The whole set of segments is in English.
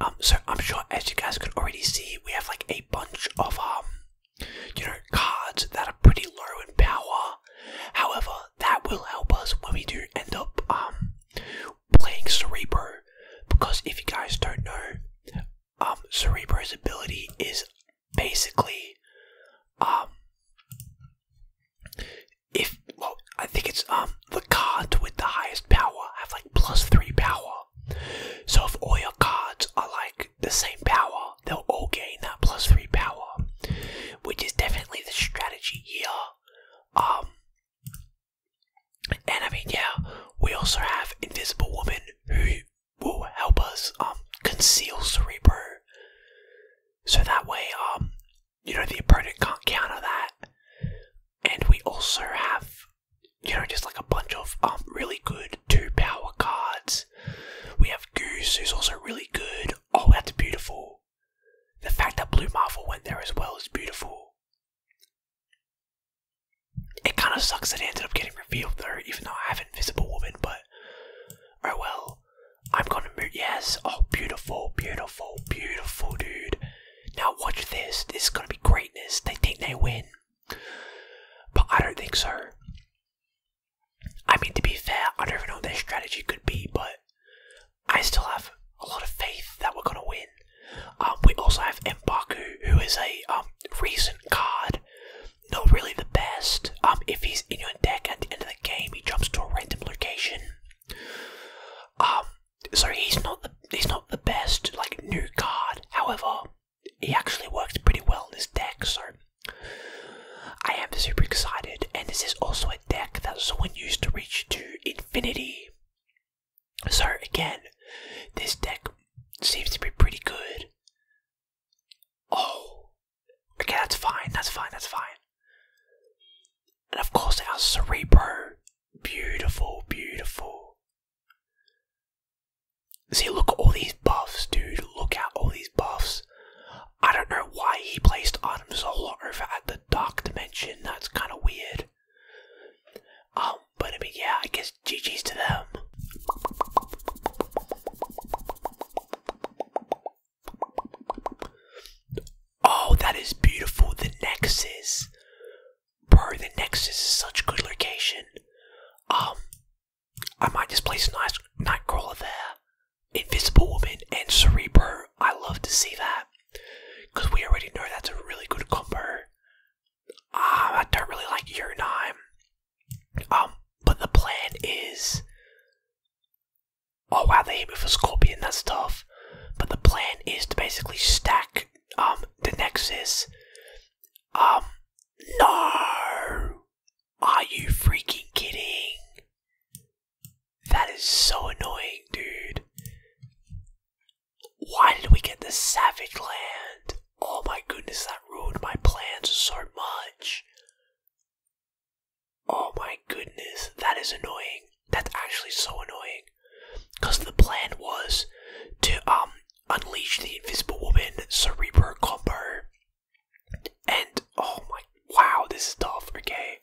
Um, so I'm sure as you guys can already see, we have like a bunch of um, you know, cards that are pretty low in power. However, that will help us when we do end up um, playing Cerebro, because if you guys don't know, Cerebro's ability is basically if I think it's the cards with the highest power have like plus three power so if all your cards are like the same power, they'll all gain that plus three power, which is definitely the strategy here. Um, and I mean, yeah, we also have Invisible Woman who will help us um conceal Cerebro, so that way um you know the opponent can't counter that. And we also have you know, just like a bunch of um, really good two power cards. We have Goose, who's also really good. Oh, that's beautiful. The fact that Blue Marvel went there as well is beautiful. It kind of sucks that it ended up getting revealed there, even though I have Invisible Woman, but oh well. I'm gonna move. Yes. Oh, beautiful, beautiful, beautiful, dude. Now watch this. This is gonna be greatness. They think they win, but I don't think so. I mean, to be fair, I don't even know what their strategy could be, but I still have a lot of faith that we're gonna win. Um, we also have Mbaku, who is a um, recent card, not really the best. Um, if he's in your deck at the end of the game, he jumps to a random location so he's not the he's not the best like new card. However, he actually works pretty well in this deck. So I am super excited, and this is also a deck that someone used to reach to infinity. So again, this deck seems to be pretty good. Oh, okay, that's fine. That's fine. That's fine. And of course, our Cerebro Beautiful, beautiful. See, look at all these buffs, dude. Look at all these buffs. I don't know why he placed Adam Zola over at the Dark Dimension. That's kind of weird. Um, but I mean, yeah, I guess GG's to them. Oh, that is beautiful. The Nexus. Bro, the Nexus is such a good location. Um, I might just place a nice Nightcrawler there. Invisible Woman and Cerebro. I love to see that. Because we already know that's a really good combo. Um, I don't really like Uranime. Um, but the plan is Oh wow, they hit me with a scorpion, that's tough. But the plan is to basically stack um the Nexus. Um No Are you freaking kidding? That is so annoying, dude. Why did we get the Savage Land? Oh my goodness, that ruined my plans so much. Oh my goodness, that is annoying. That's actually so annoying. Because the plan was to um unleash the Invisible Woman Cerebro combo. And oh my wow, this is tough, okay.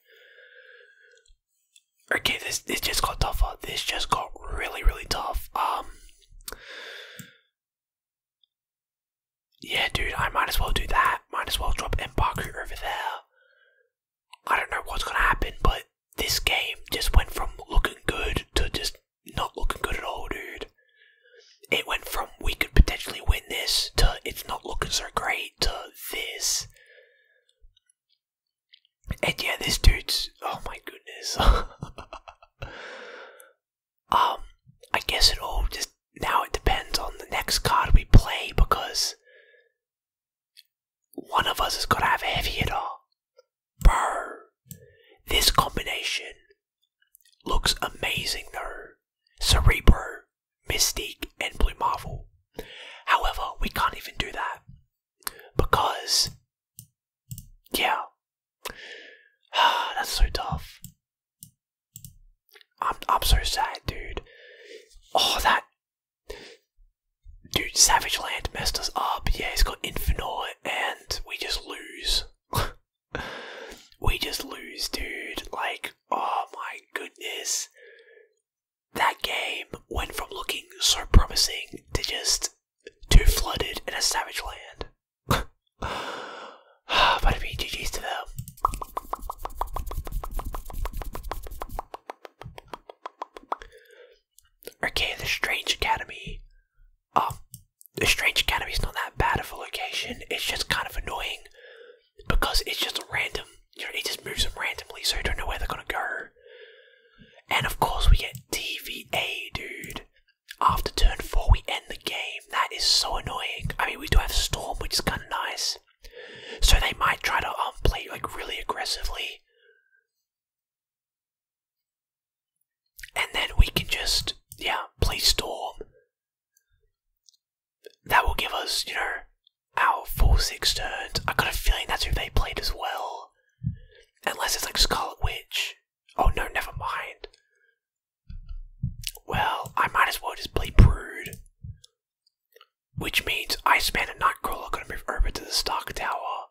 Okay, this this just got tougher. This just got really, really tough. Um Yeah dude, I might as well do that. Might as well drop Embaku over there. I don't know what's going to happen, but this game just went from looking good to just not looking good at all, dude. It went from we could potentially win this to it's not looking so great to this. And yeah, this dude's. Oh my goodness. um, I guess it all just now it depends on the next card we play because one of us has got to have a heavy hitter. Bro, this combination looks amazing though. Cerebro, Mystique, and Blue Marvel. However, we can't even do that because, yeah, that's so tough. I'm I'm so sad, dude. Oh, that dude, Savage Land messed us up. Yeah, he's got Infinor, and we just lose. we just lose, dude. Like, oh my goodness, that game went from looking so promising to just too flooded in a Savage Land. but it'd be GG's to them. Okay, the Strange Academy. Um, the Strange Academy is not that bad of a location. It's just kind of annoying because it's just random. You know, it just moves them randomly, so you don't know where they're gonna go. And of course, we get TVA, dude. After turn four, we end the game. That is so annoying. I mean, we do have Storm, which is kind of nice. So they might try to unplay um, like really aggressively. And then we can just, yeah, play Storm. That will give us, you know, our full six turns. I got a feeling that's who they played as well. Unless it's like Scarlet Witch. Oh no, never mind. Well, I might as well just play Brood. Which means I Iceman a Nightcrawler are going to move over to the Stark Tower.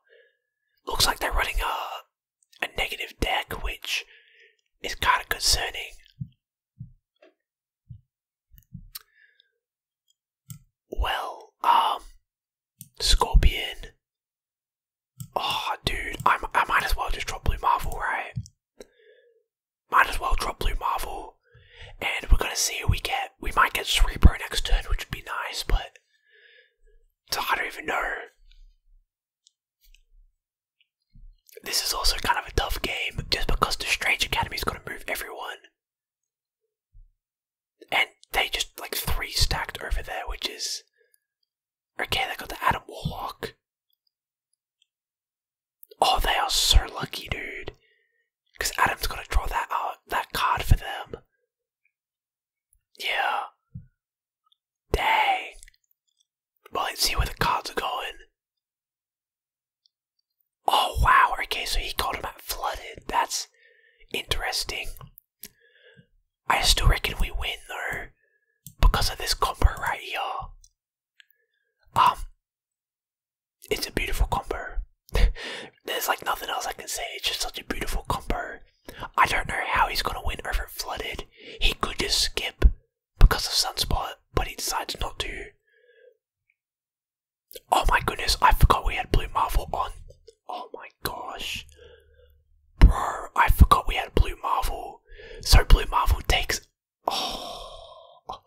Looks like they're running a, a negative deck, which is kind of concerning. Well, um, Scorpion. Oh, dude, I, I might as well just drop Blue Marvel, right? Might as well drop Blue Marvel. And we're gonna see who we get. We might get Cerebro next turn, which would be nice, but I don't even know. This is also kind of a tough game, just because the Strange Academy's going to move everyone. And they just like three stacked over there, which is okay, they got the Adam Warlock. Oh, they are so lucky, dude. Because Adam's got to draw that uh, that card for them. Yeah. Dang. Well, let's see where the cards are going. Oh, wow. Okay, so he called him out flooded. That's interesting. I still reckon we win though because of this combo right here. Um, it's a beautiful combo. There's like nothing else I can say. It's just such a beautiful combo. I don't know how he's gonna win over flooded. He could just skip because of sunspot, but he decides not to. Oh my goodness! I forgot we had blue marvel on. Oh my gosh! Bro, I forgot we had Blue Marvel. So Blue Marvel takes. Oh.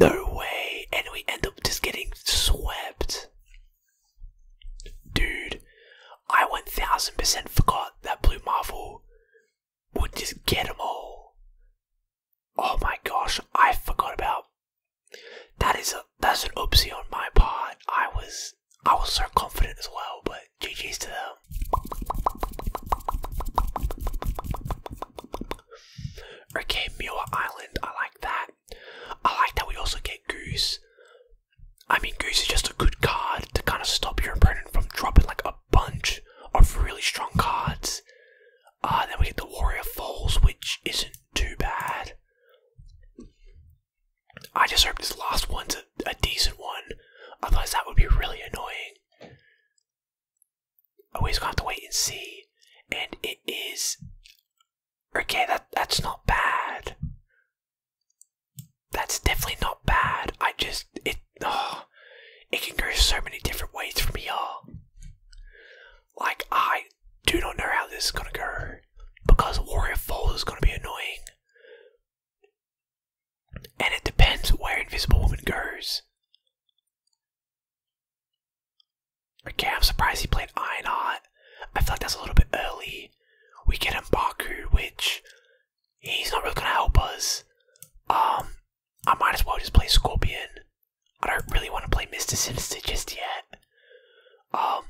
No way. And we end up just getting swept. Dude, I 1000% forgot that Blue Marvel would just get them all. Oh my gosh, I forgot about. That is a that's an oopsie on my part. I was I was so confident as well, but GG's to them. Okay, Muir Island, I like that. I like that we also get Goose. I mean, Goose is just a good card to kind of stop your opponent from dropping like a bunch of really strong cards. Ah, then we get the Warrior Falls, which isn't too bad. I just hope this last one's a, decent one. Otherwise, that would be really annoying. Always gonna have to wait and see. And it is okay. That that's not bad. That's definitely not bad. I just it. Oh, it can go so many different ways from here. Like I do not know how this is gonna go. Warrior because Warrior falls is going to be annoying. And it depends where Invisible Woman goes. Okay, I'm surprised he played Ironheart. I feel like that's a little bit early. We get Mbaku, which he's not really going to help us. Um, I might as well just play Scorpion. I don't really want to play Mr. Sinister just yet. Um,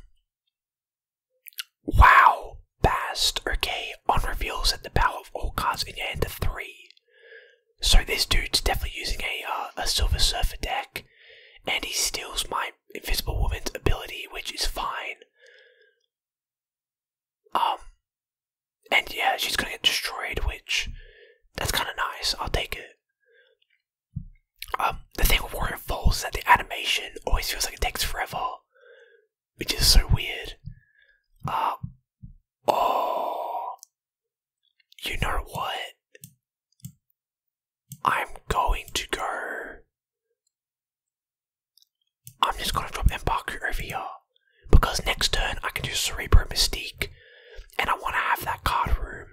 Wow, passed. Okay, on reveals at the power of all cards in your hand to three. So this dude's definitely using a uh, a Silver Surfer deck, and he steals my Invisible Woman's ability, which is fine. Um, and yeah, she's gonna get destroyed, which that's kind of nice. I'll take it. Um, the thing with Warren Falls that the animation always feels like it takes forever, which is so weird. Um, oh, you know what? I'm going to go. I'm just gonna drop Mbaku over because next turn I can do Cerebro Mystique, and I want to have that card room.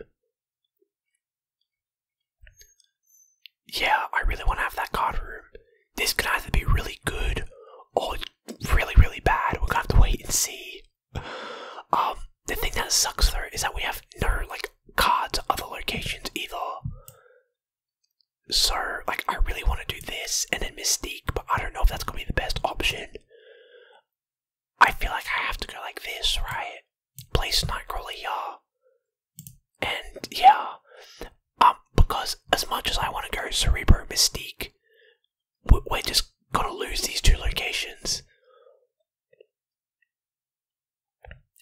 Yeah, I really want to have that card room. This could either be really good or really, really bad. We're gonna have to wait and see. Um, the thing that sucks though is that we have no like cards other locations either. So, like, I really want to do this and then Mystique, but I don't know if that's gonna be the best option. I feel like I have to go like this, right? Place Nightcrawler, yeah. And yeah, um, because as much as I want to go Cerebro Mystique, we're just gonna lose these two locations.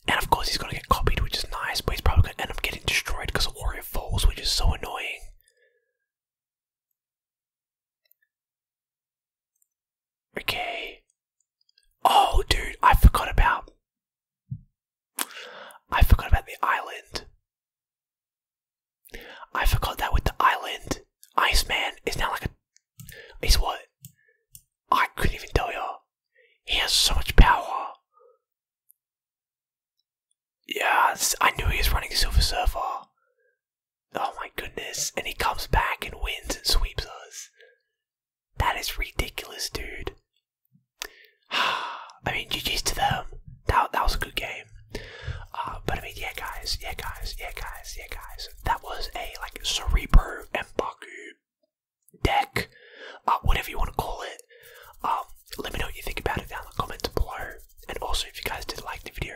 And of course, he's gonna get copied, which is nice, but he's probably gonna end up getting destroyed because of Warrior Falls, which is so annoying. Okay. Oh, dude, I forgot about. I forgot about the island. I forgot that with the island. Ice Man is now like a. Is what? I couldn't even tell you. He has so much power. Yeah, I knew he was running Silver Surfer. Oh my goodness. And he comes back and wins and sweeps us. That is ridiculous, dude. I mean, GG's to them. That, that was a good game. Uh, but I mean, yeah, guys, yeah, guys, yeah, guys, yeah, guys. That was a, like, Cerebro Mbaku deck, uh, whatever you want to call it. Um, let me know what you think about it down in the comments below. And also, if you guys did like the video,